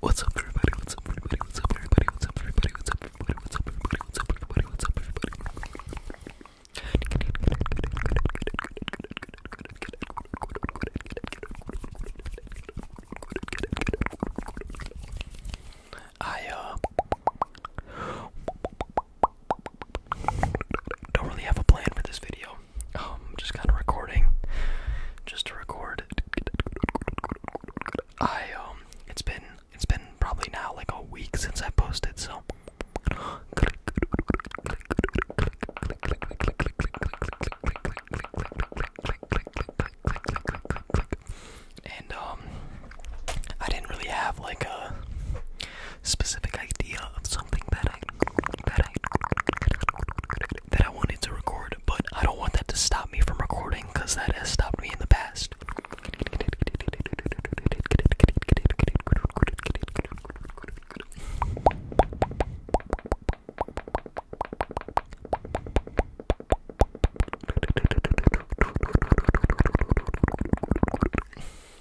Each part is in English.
What's up, everybody? What's up, everybody? What's up, everybody? What's up, everybody? What's up, everybody? What's up, everybody? What's up, everybody? What's up, everybody? I uh don't really have a plan for this video um, just kind of recording, just to record. I um, it's been it's been probably now like a week since I posted, so. And um, I didn't really have like a specific idea of that I that I that I wanted to record, but I don't want that to stop me from recording because that has stopped me in the past.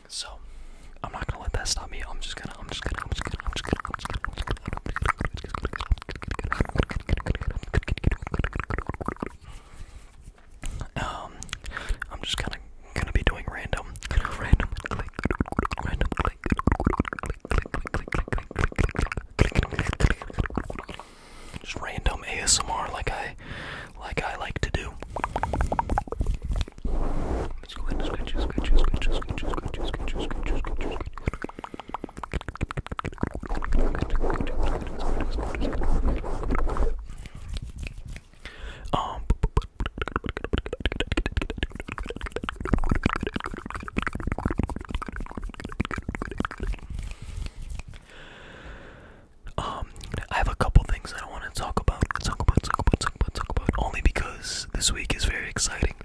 So I'm not gonna let that stop me. I'm just gonna I'm just gonna I'm just gonna I'm just gonna I'm just gonna I'm just gonna um, I'm just kind of gonna be doing random, random click, random click, click, click, click, click, click, click, click, just random ASMR like I, like I like to do. Um, I have a couple things I don't want to talk about. Talk about, talk about, talk talk about. Only because this week is very exciting.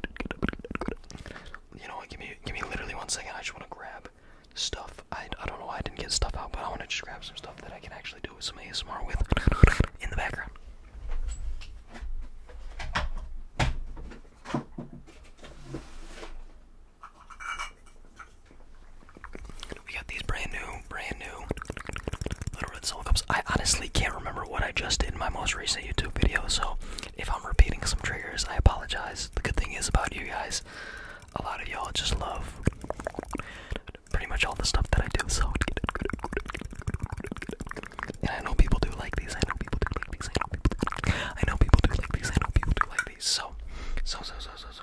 You know Give me, give me literally one second. I just want to grab stuff. I, I don't know why I didn't get stuff out, but I want to just grab some stuff that I can actually do with some ASMR with in the background. We got these brand new brand new Little Red Soul Cups. I honestly can't remember what I just did in my most recent YouTube video, so if I'm repeating some triggers, I apologize. The good thing is about you guys, a lot of y'all just love pretty much all the stuff that I do, so. And I know people do like these, I know people do like these, I know people do like these, I know people do like these, I know people do like these, so. So, so, so, so, so.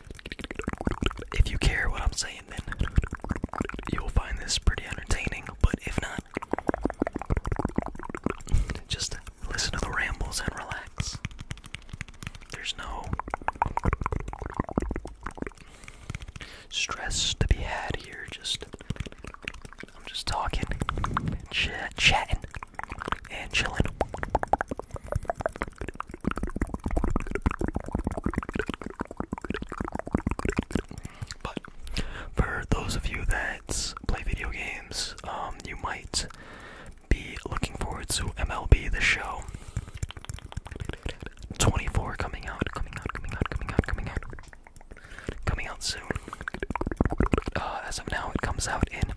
If you care what I'm saying, then you'll find this pretty entertaining. But if not, just listen to the rambles and relax. There's no stress to be had here. Just I'm just talking, ch chatting, and chilling for those of you that play video games, um, you might be looking forward to MLB The Show 24 coming out, coming out, coming out, coming out, coming out, coming out soon. Uh, as of now, it comes out in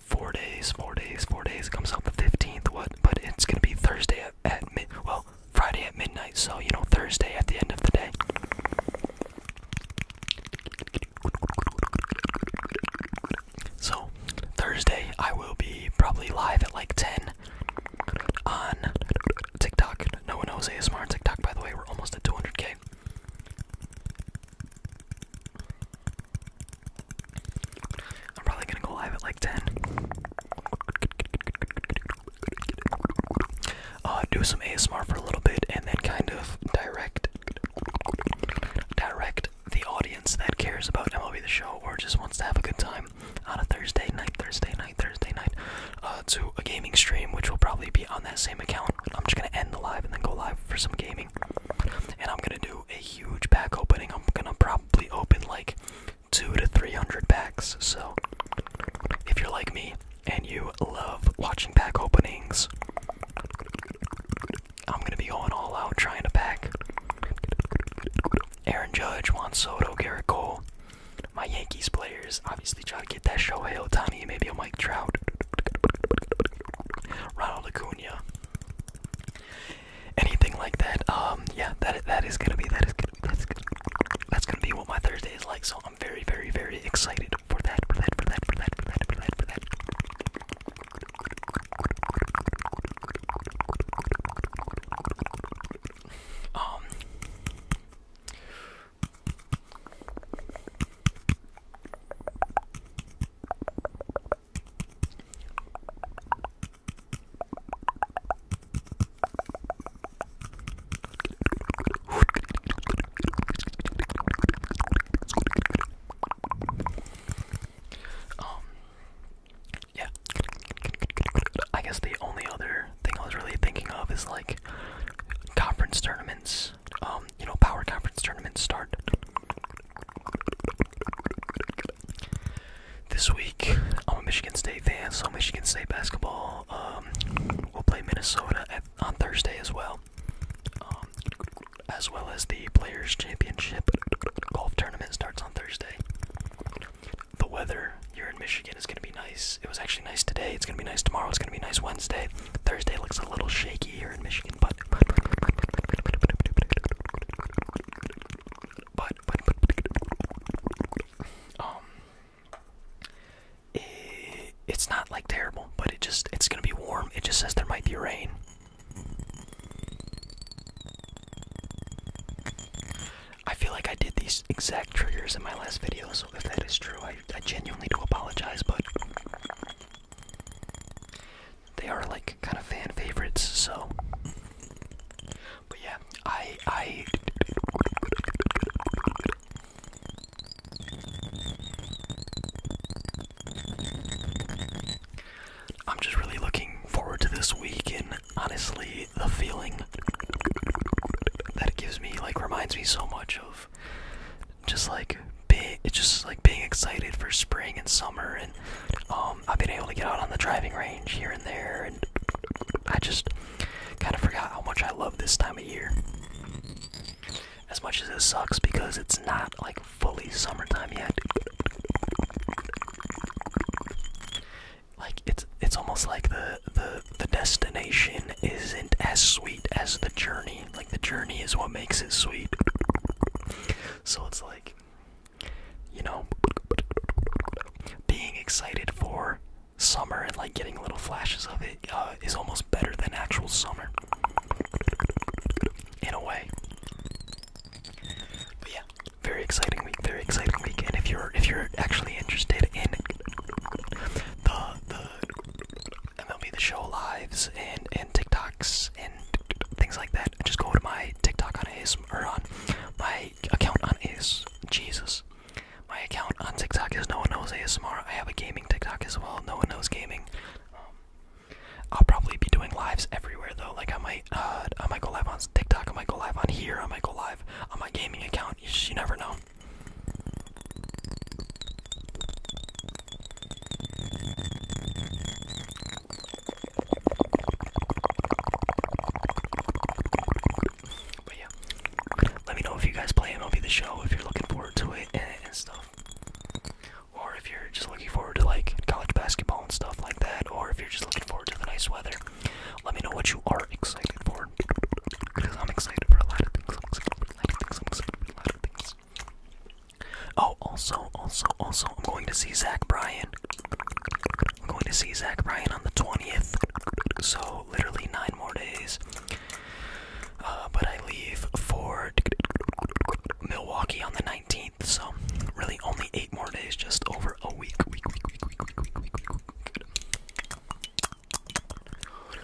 four days, four days, four days. It comes out the 15th, what? But it's gonna be Thursday at, mid, well, Friday at midnight. So you know, Thursday at the end of the day. So Thursday, I will be probably live at like 10 on TikTok. No one knows ASMR on TikTok, by the way. We're almost at 200k. I'm probably gonna go live at like 10. do some ASMR for a little bit and then kind of direct direct the audience that cares about MLB the show or just wants to have a good time on a Thursday night, Thursday night, Thursday night, uh, to a gaming stream, which will probably be on that same account. I'm just gonna end the live and then go live for some gaming. And I'm gonna do a huge pack opening. I'm gonna probably open like two to three hundred packs. So if you're like me and you love watching pack openings, I'm gonna be going all out trying to pack. Aaron Judge, Juan Soto, Garrett Cole, my Yankees players. Obviously, try to get that Shohei Otani, maybe a Mike Trout, Ronald Acuna anything like that. Um, yeah, that that is gonna be that is gonna be that's gonna, that's gonna be what my Thursday is like. So I'm very very very excited for that for that for that for that for that for that for that. Um. Um, yeah. I guess the only other thing I was really thinking of is like conference tournaments. Um, you know, power conference tournaments start this week, I'm a Michigan State fan, so Michigan State basketball um, will play Minnesota on Thursday as well, um, as well as the Players Championship golf tournament starts on Thursday. The weather here in Michigan is going to be nice. It was actually nice today. It's going to be nice tomorrow. It's going to be nice Wednesday. Thursday looks a little shaky here in Michigan, but um it's not like terrible, but it just it's gonna be warm. It just says there might be rain. I feel like I did these exact triggers in my last video, so if that is true, I genuinely do apologize, but they are like kind of fan favorites. So, but yeah, I I. I'm just really looking forward to this week, and honestly, the feeling that it gives me like reminds me so much of just like big it's just like being excited for spring and summer and um, I've been able to get out on the driving range here and there and I just kind of forgot how much I love this time of year. As much as it sucks because it's not like fully summertime yet. Like it's it's almost like the the the destination isn't as sweet as the journey like the journey is what makes it sweet. So it's like, you know, being excited for summer and like getting little flashes of it uh, is almost better than actual summer. In a way. But yeah, very exciting week, very exciting week. And if you're if you're actually interested in the the MLB the show lives and TikToks and things like that. Just go to my TikTok on ASMR on my account on Ace. Jesus. My account on TikTok is no one knows ASMR. I have a gaming TikTok as well. No one knows gaming. Um, I'll probably be doing lives everywhere though. Like I might, uh, I might go live on TikTok. I might go live on here. I might go live on my gaming account. you never know. But yeah, let me know if you guys play MLB The Show, if you're looking forward to it and, stuff. Or if you're just looking forward to like college basketball and stuff like that, or if you're just looking forward to the nice weather, let me know what you are excited for. Because I'm excited for a lot of things. I'm excited for a lot of things. Oh, also, also, also, I'm going to see Zach Bryan. I'm going to see Zach Bryan on the 20th. So, literally nine more days. Uh, but I leave for Milwaukee on the 19th. So, really only eight more days, just over a week. week.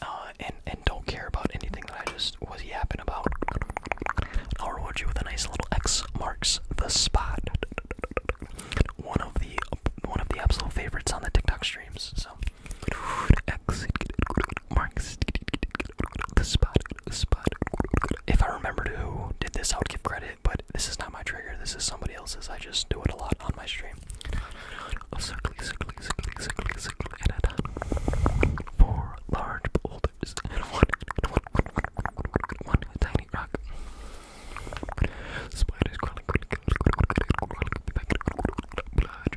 Uh, and and don't care about anything that I just was yapping about. I'll reward you with a nice little X marks the spot. One of the one of the absolute favorites on the TikTok streams. So X marks the spot. The spot. If I remember who did this, I would give credit. But this is not my trigger. This is somebody else's. I just do it a lot on my stream. Okay. A circle, circle, circle, circle, circle, and a dot. Four large boulders and one, and one, one, one, one tiny rock. Spiders crawling, crawling, crawling, crawling, back. Blood,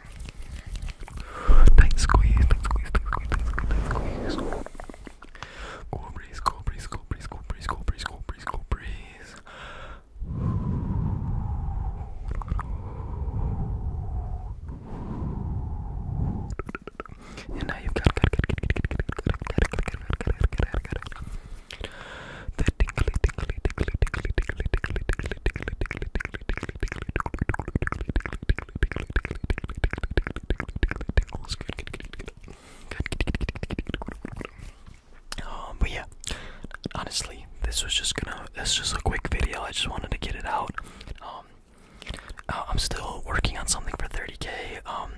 Tight squeeze, tight squeeze, tight squeeze, tight squeeze, tight squeeze. Cool breeze, cool breeze, cool breeze, cool breeze, cool breeze, cool breeze, cool breeze. And now you've got the tingly, tingly, tingly, tingly, tingly, tingly, tingly, tingly, tingly, um, but yeah, honestly, this was just gonna. This just a quick video. I just wanted to get it out. Um, uh, I'm still working on something for 30k. Um,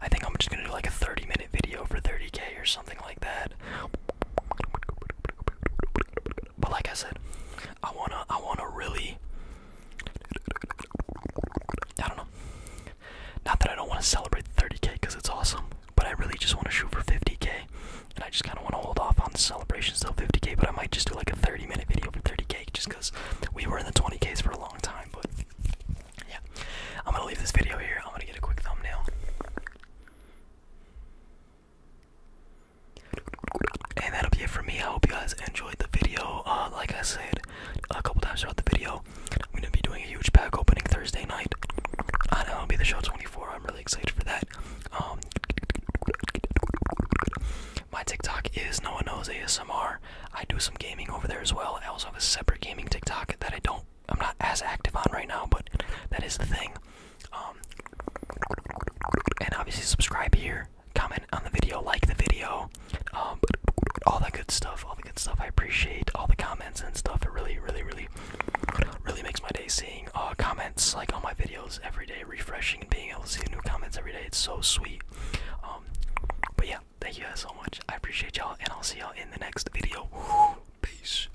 I think I'm just gonna do like a 30 minute video for 30k or something like that. But like I said, I wanna I wanna really I don't know. Not that I don't want to celebrate 30k because it's awesome, but I really just want to shoot for 50k, and I just kind of want to hold off on the celebrations till 50k. But I might just do like a 30 minute video for 30k, just because we were in the 20k's for a long time. But yeah, I'm gonna leave this video here. I'm gonna get a quick thumbnail. And that'll be it for me. I hope you guys enjoyed the video. Uh, like I said a couple times throughout the video, I'm gonna be doing a huge pack opening Thursday night. I know it'll be the show 24. I'm really excited for that. Um, my TikTok is no one knows ASMR. I do some gaming over there as well. I also have a separate gaming TikTok that I don't I'm not as active on right now, but that is the thing. Um, and obviously subscribe here, comment on the video, like the video, um, all that good stuff, all the good stuff. I appreciate all the comments and stuff. It really, really, really, really makes my day seeing uh, comments like on my videos every day, refreshing and being able to see new comments every day. It's so sweet. Um, but yeah, thank you guys so much. I appreciate y'all, and I'll see y'all in the next video. Peace.